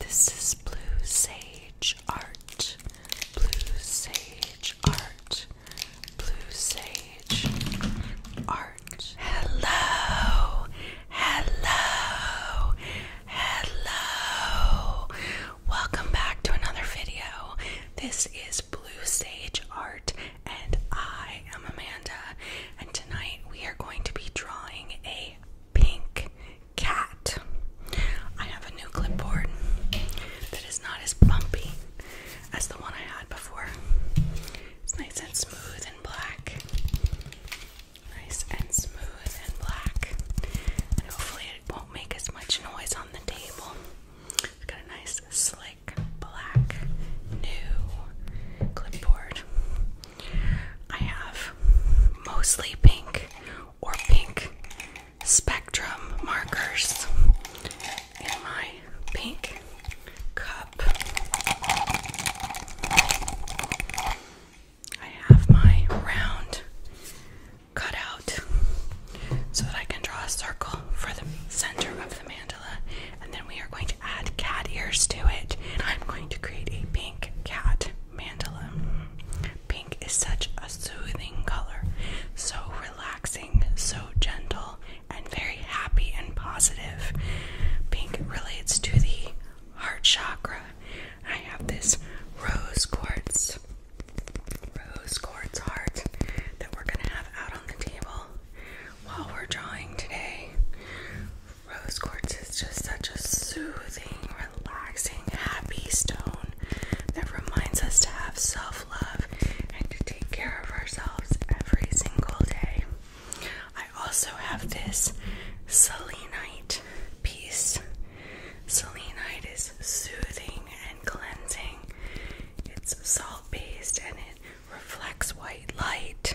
This is Blue Sage Art. Blue Sage Art. Blue Sage Art. Hello. Hello. Hello. Welcome back to another video. This is Blue Sage Art and I am Amanda and tonight we are going to be drawing a pink cat. I have a new clipboard that is not as bumpy as the one I had before. It's nice and smooth and black. Nice and smooth and black. And hopefully it won't make as much noise on the table. It's got a nice slick black new clipboard. I have mostly pink or pink spectrum markers in my pink cup. I have my round cut out so that I can draw a circle for the center of the mandala, and then we are going to add cat ears to it. And I'm going to create a pink cat. Pink is such a soothing color, so relaxing, so gentle, and very happy and positive. Pink relates to the heart chakra. I have this rose quartz, rose quartz heart that we're going to have out on the table while we're drawing today. Rose quartz is just such a soothing, relaxing, happy stone that reminds us to have self love and to take care of ourselves every single day. I also have this selenite piece. Selenite is soothing and cleansing, it's salt based and it reflects white light.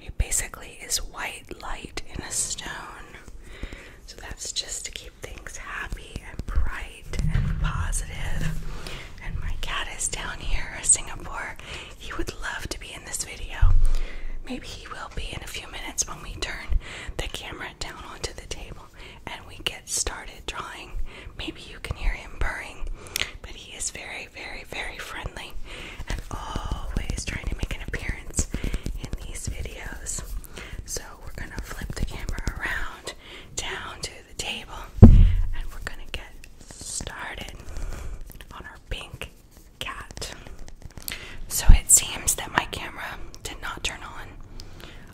It basically is white light in a stone. So that's just to keep things happy and bright and positive. And my cat is down here, Singapore. He would love to be in this video. Maybe he will be in a few minutes when we turn the camera down onto the table and we get started drawing. Maybe you can hear him purring, but he is very, very, very friendly always trying to make an appearance in these videos. So we're gonna flip the camera around down to the table and we're gonna get started on our pink cat. So it seems that my camera did not turn on.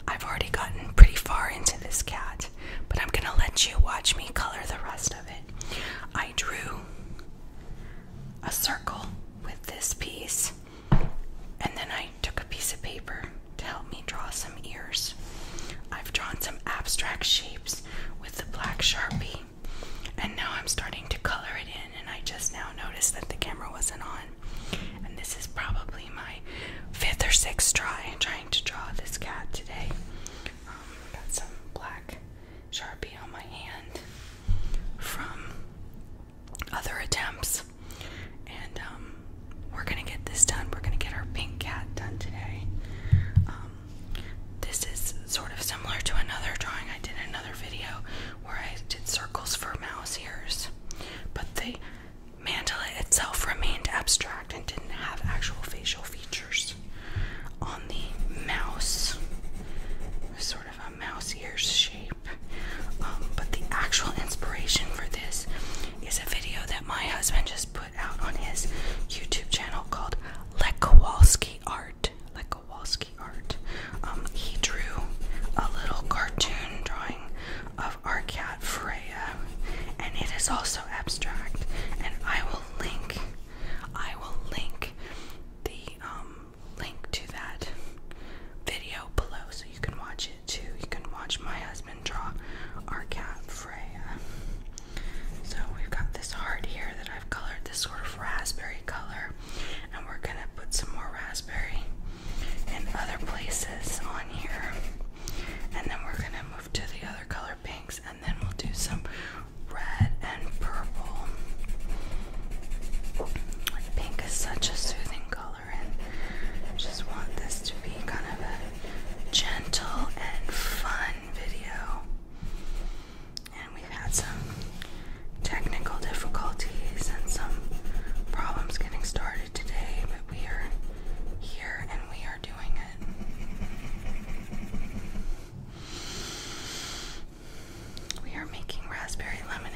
I've already gotten pretty far into this cat, but I'm gonna let you watch me color the rest of it. I drew a circle with this piece and then I took a piece of paper to help me draw some ears. I've drawn some abstract shapes with the black sharpie, and now I'm starting to color it in. And I just now noticed that the camera wasn't on. And this is probably my fifth or sixth try trying to draw this cat today. Um, got some black sharpie on my hand from other attempts. And um, we're gonna get this done. We're gonna get our pink cat done today. Um, this is sort of similar to another drawing I did in another video where I did circles for mouse ears, but the mandala itself remained abstract and didn't have actual facial features. On the mouse, sort of a mouse ears shape. Um, but the actual inspiration for this is a video that my husband just put out on his YouTube channel called Let Kowalski Art. Let Kowalski Art. Um, he drew a little cartoon drawing of our cat Freya, and it is also abstract. And I will link, I will link the um, link to that video below so you can watch it too. You can watch my husband draw our cat Freya. So we've got this heart here that I've colored this sort of raspberry color, and we're gonna put some more raspberry and other places on here. And then we're gonna move to the other color pinks, and then we'll do some red and purple. Pink is such a soothing color, and I just want this to be kind of a gentle and fun video. And we've had some technical difficulties and some problems getting started today, but we are here and we are doing it. We are making raspberry lemonade.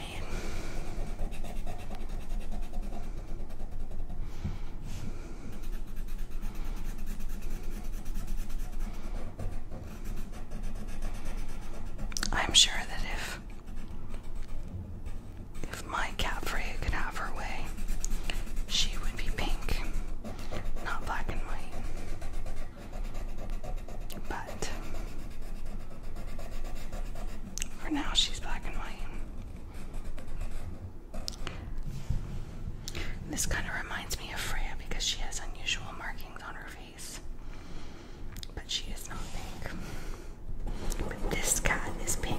I'm sure that if if my cat Freya could have her way, she would be pink, not black and white. But for now, she's black and white. This kind of reminds me of Freya because she has unusual markings on her face, but she is not pink. But this cat is pink.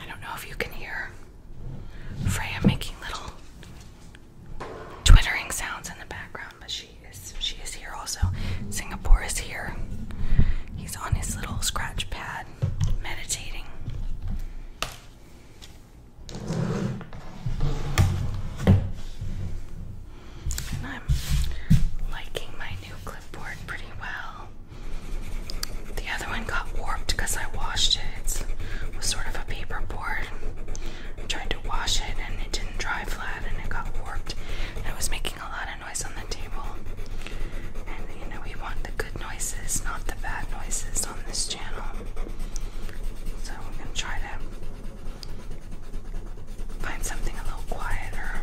I don't know if you can hear Freya making little twittering sounds in the background, but she is she is here also. Singapore is here. He's on his little scratch pad meditating. And I'm liking my new clipboard pretty well. The other one got warped because I washed it. It was sort of a paper board tried to wash it and it didn't dry flat and it got warped. And it was making a lot of noise on the table. And you know, we want the good noises, not the bad noises on this channel. So we're gonna try to find something a little quieter.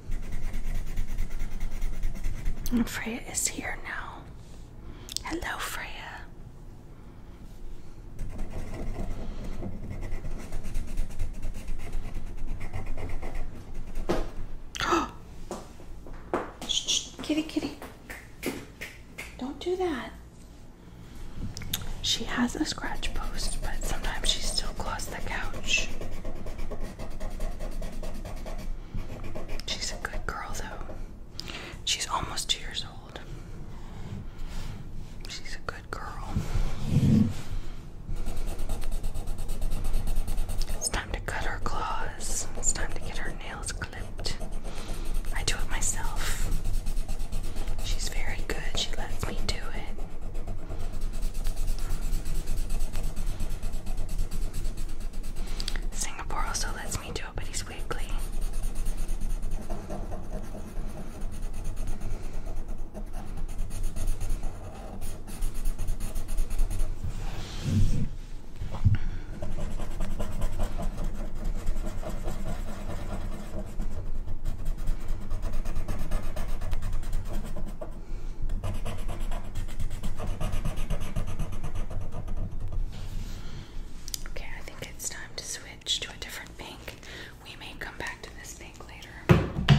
And Freya is here now. Hello, Freya. kitty, kitty. Don't do that. She has a scratch post, but sometimes she still claws the couch. She's a good girl, though. She's almost two years old. She's a good girl. It's time to cut her claws. It's time to get her nails clipped. I do it myself. She's very good. She lets me do it. Singapore also lets me do it, but he's weekly. Okay, I think it's time to switch to a different pink. We may come back to this pink later.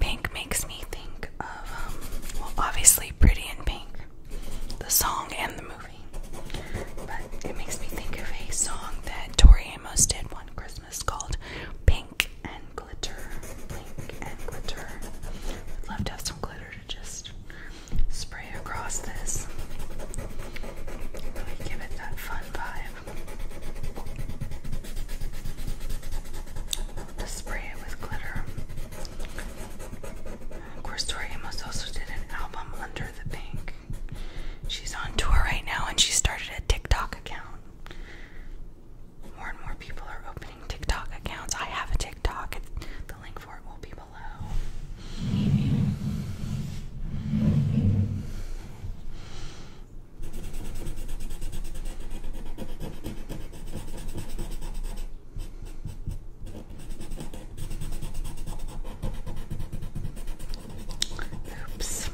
Pink makes me think of, um, well, obviously, Pretty in Pink, the song and the movie. But it makes me think of a song that Tori Amos did one Christmas called Pink and Glitter. Pink and Glitter. I'd love to have some glitter to just spray across this. Really give it that fun vibe to spray it with glitter. Corstoria Amos also did an album under the pink. She's on tour right now and she started a TikTok account. More and more people are opening TikTok accounts. I have a TikTok. The link for it will be below. Oops.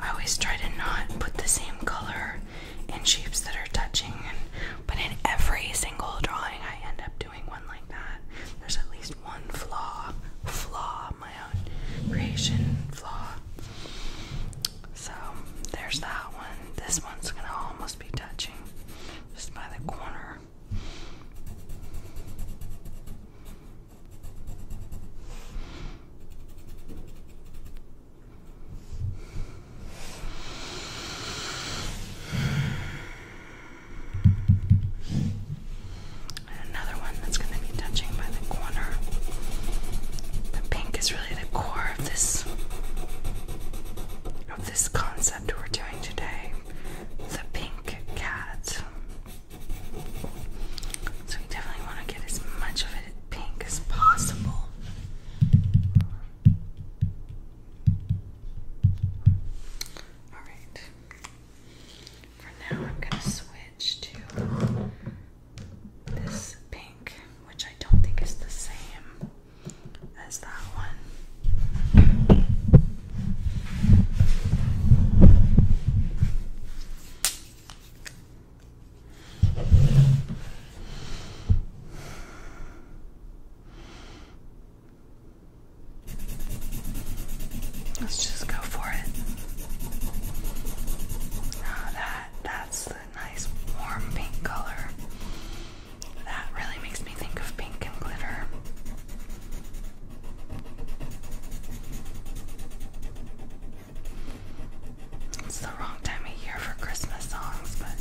I always try to not put the same color in shapes that are touching, but in every single drawing, I end up doing one like that. There's at least one flaw, flaw, my own creation flaw. So there's that one. This one's gonna almost be touching just by the corner. another one that's going to be touching by the corner. The pink is really the core of this of this concept we're doing today. The pink cat. So we definitely want to get as much of it pink as possible. Alright. For now I'm gonna switch to this pink, which I don't think is the same as that one. Let's just go for it. Oh, that that's nice warm pink color. That really makes me think of pink and glitter. It's the wrong time of year for Christmas songs, but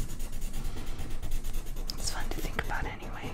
it's fun to think about anyway.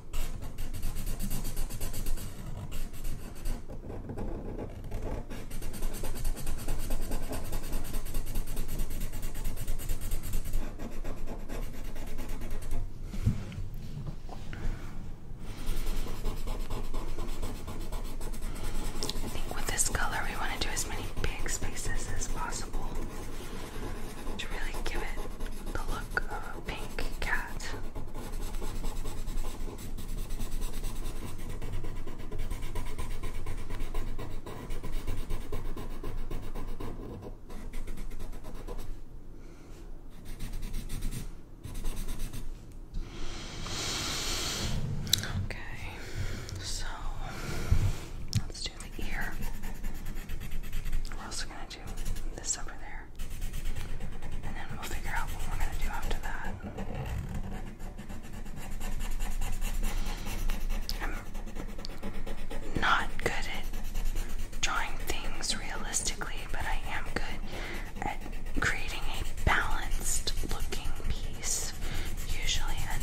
I think with this color, we want to do as many big spaces as possible to really give it the look of a pink cat. Okay, so let's do the ear. We're also going to to this over there. And then we'll figure out what we're gonna do after that. I'm not good at drawing things realistically, but I am good at creating a balanced looking piece usually, and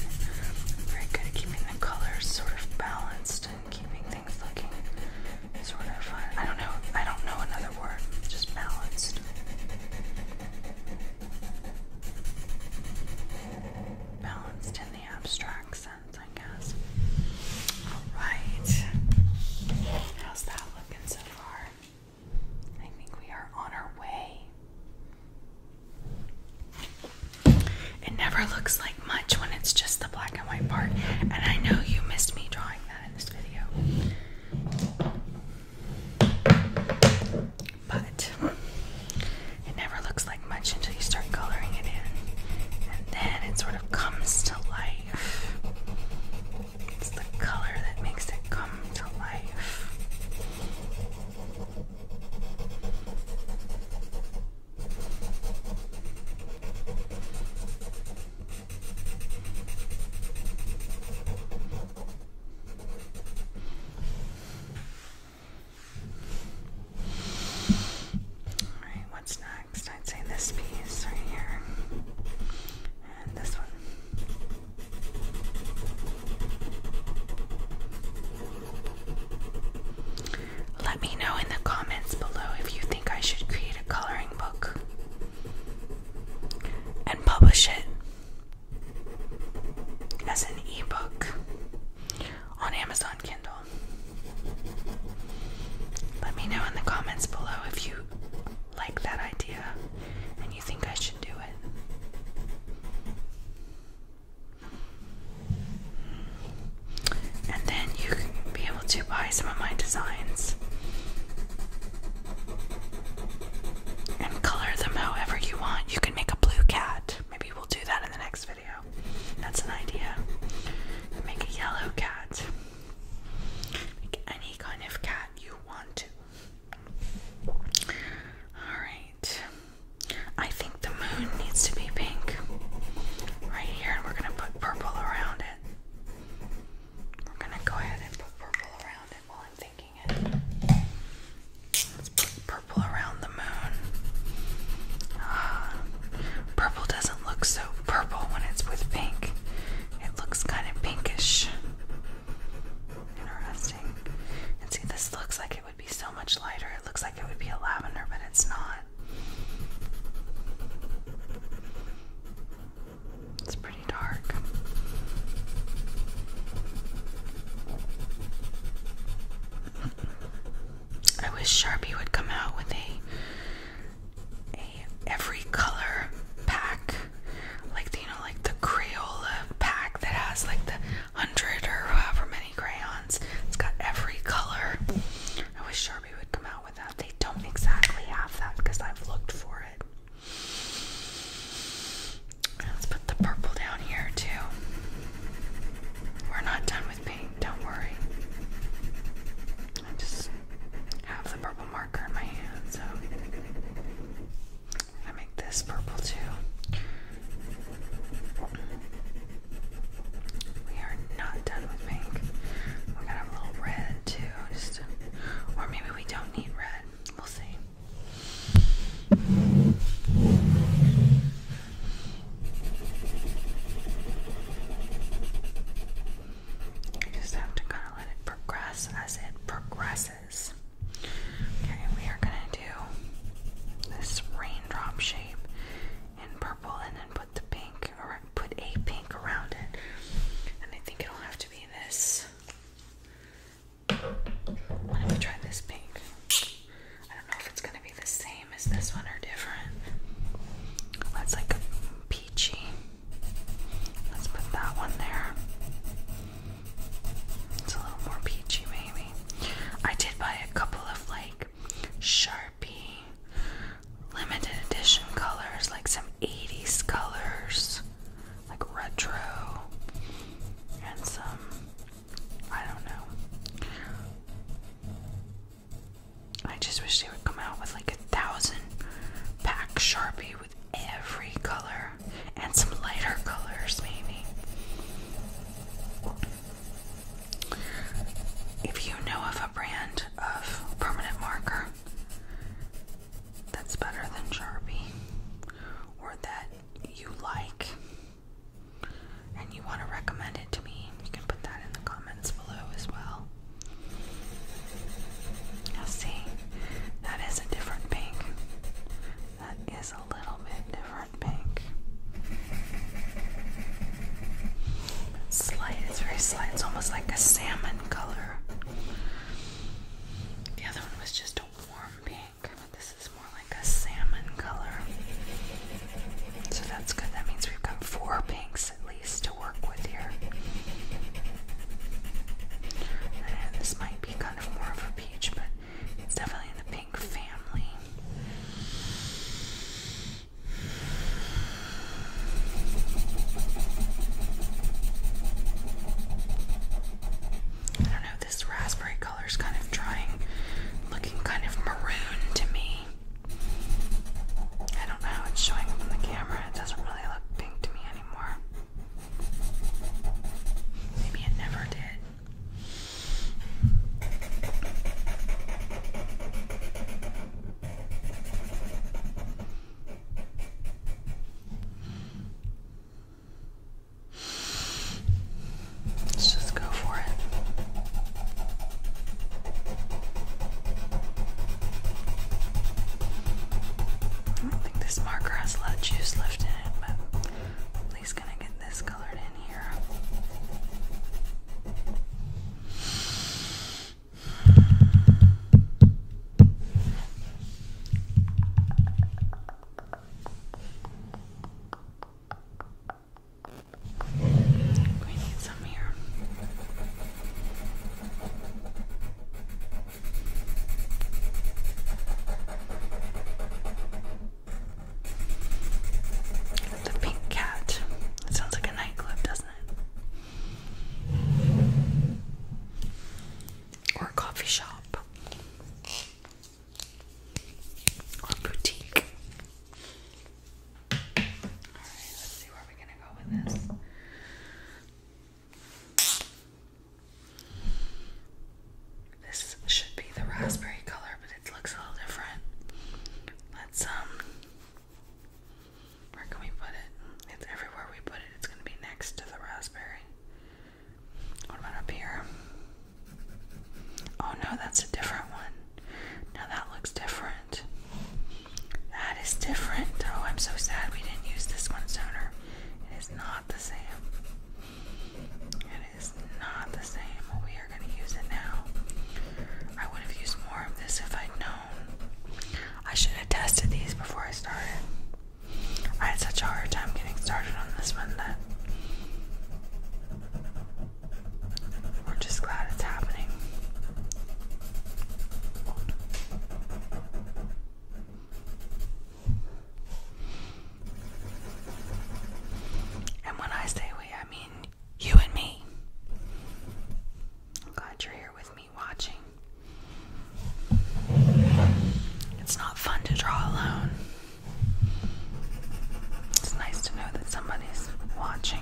i good at keeping the colors sort of balanced and keeping looking sort of fun. I don't know. I don't know another word. Just balanced. Balanced in the abstract sense, I guess. Alright. How's that looking so far? I think we are on our way. It never looks like much when it's just the black and white part. And I know you missed me drawing that in this video. But it never looks like much until you start coloring it in. And then it sort of comes to life. It's the color that makes it come to life. Alright, what's next? I'd say this piece right here. And this one. Let me know in the comments below if you think I should create a coloring book and publish it as an ebook on Amazon Kindle. Let me know in the comments below if you like that idea and you think I should do it and then you can be able to buy some of my designs and color them however you want. You can make a blue cat. Maybe we'll do that in the next video. That's an idea. Make a yellow cat. Make any kind of cat you want to. Alright. I think the moon needs to be pink. Right here, and we're gonna put purple around it. We're gonna go ahead and put purple around it while I'm thinking it. purple around the moon. Ah, purple doesn't look so purple when it's with pink. It looks kind of pinkish. Interesting. And see, this looks like it would be so much lighter. It looks like it would be a lavender, but it's not. It's pretty dark. I wish Sharpie would come out with a a every color pack. Like you know, like the Crayola pack that has like the hundred or however many crayons. It's got every color. I wish Sharpie would come out with. They don't exactly have that because I've looked for it. Let's put the purple down here too. We're not done with paint, don't worry. I just have the purple marker in my hand, so i make this purple too. We are not done with pink. We're gonna have a little red too, or maybe we don't need red. We'll see. You just have to kind of let it progress as it progresses. Okay, we are gonna do this raindrop shape in purple and then put put the pink or put a pink around it. And I think it'll have to be this. Why don't we try this pink? I don't know if it's gonna be the same as this one or different. That's like a peachy. Let's put that one there. It's a little more peachy, maybe. I did buy a couple of like Sharpie limited edition colors, like some 80s colors, like retro, and some, I don't know. I just wish they would come out with like a thousand pack Sharpie with every color and some lighter colors, maybe. If you know of a brand of permanent marker that's better than Sharpie or that you like and you want to recommend it to me, you can put that in the comments below as well. Now, see, that is a different pink. That is a little bit different pink. Slight, it's very slight. It's almost like a salmon color. The other one was just a warm pink, this is more like a salmon color. So that's good. That means we've got four pinks at least to work with here. this might be kind of more of a peach, but it's definitely in the pink family. I don't know, this raspberry color is kind of trying, looking kind of maroon to me. I don't know how it's showing up on the camera. It doesn't really look pink to me anymore. Maybe it never did. Let's just go for it. I don't think this marker has a lot of juice left in it, but at least gonna get this colored in here. We need some here. The pink cat. It sounds like a nightclub, doesn't it? or a coffee shop or a boutique. All right, let's see where we're gonna go with this. This should be the raspberry color, but it looks a little different. Let's um where can we put it? It's everywhere we put it. It's going to be next to the raspberry. What about up here? Oh no, that's a different one. Now that looks different. That is different. Oh, I'm so sad we didn't use this one sooner. It is not the same. It is not the same. We are going to use it now. I would have used more of this if I'd known. I should have tested these before I started. I had such a hard time getting started on this one that we're just glad it's happening. And when I say we, I mean you and me. I'm glad you're here with me watching. It's not fun to draw alone. It's nice to know that somebody's watching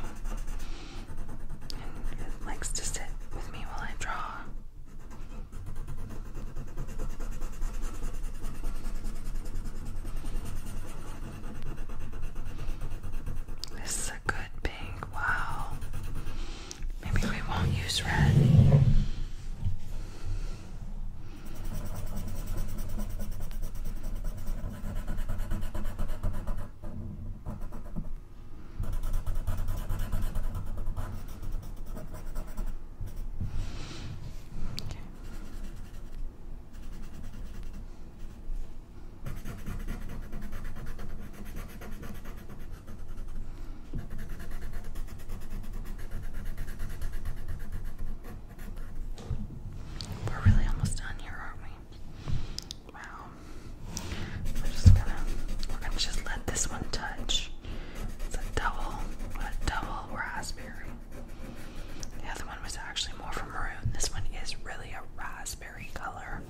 and likes to sit with me while I draw. This good pink. Wow. Maybe we won't use red. We're really almost done here, aren't we? Wow. We're just gonna we're gonna just let this one touch. It's a double, a double raspberry. The other one was actually more from a maroon. This one is really a raspberry raspberry color.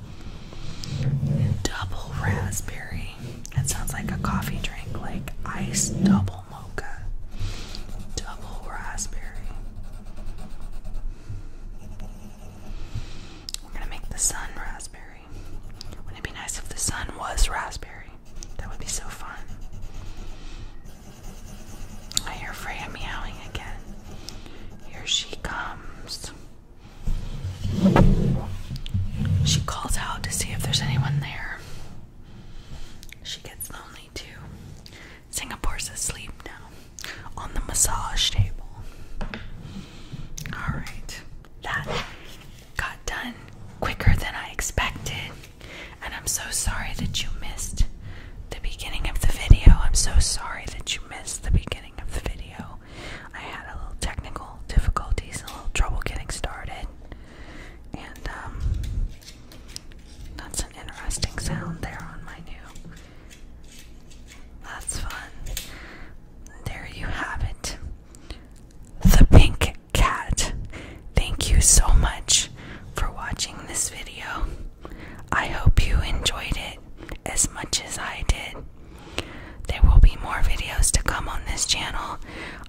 Double raspberry. It sounds like a coffee drink, like iced double mocha. Double raspberry. We're gonna make the sun raspberry. Wouldn't it be nice if the sun was raspberry? That would be so fun. I hear Freya meowing again. Here she comes. She calls out to see if there's anyone there. She gets lonely too. Singapore's asleep now on the massage table. Alright, that got done quicker than I expected. And I'm so sorry that you missed the beginning of the video. I'm so sorry that you missed the beginning of the video. I had a little technical difficulties, a little trouble getting started, and um, that's an interesting sound there on my new. That's fun. There you have it. The Pink Cat. Thank you so much for watching this video. I hope you enjoyed it as much as I did. There will be more videos to come on this channel.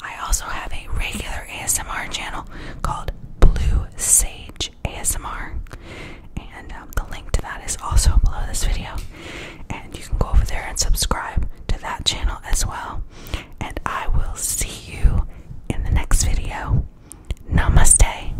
I also have a regular ASMR channel called Blue Sage ASMR, and um, the link to that is also below this video. And you can go over there and subscribe to that channel as well. And I will see you in the next video. Namaste.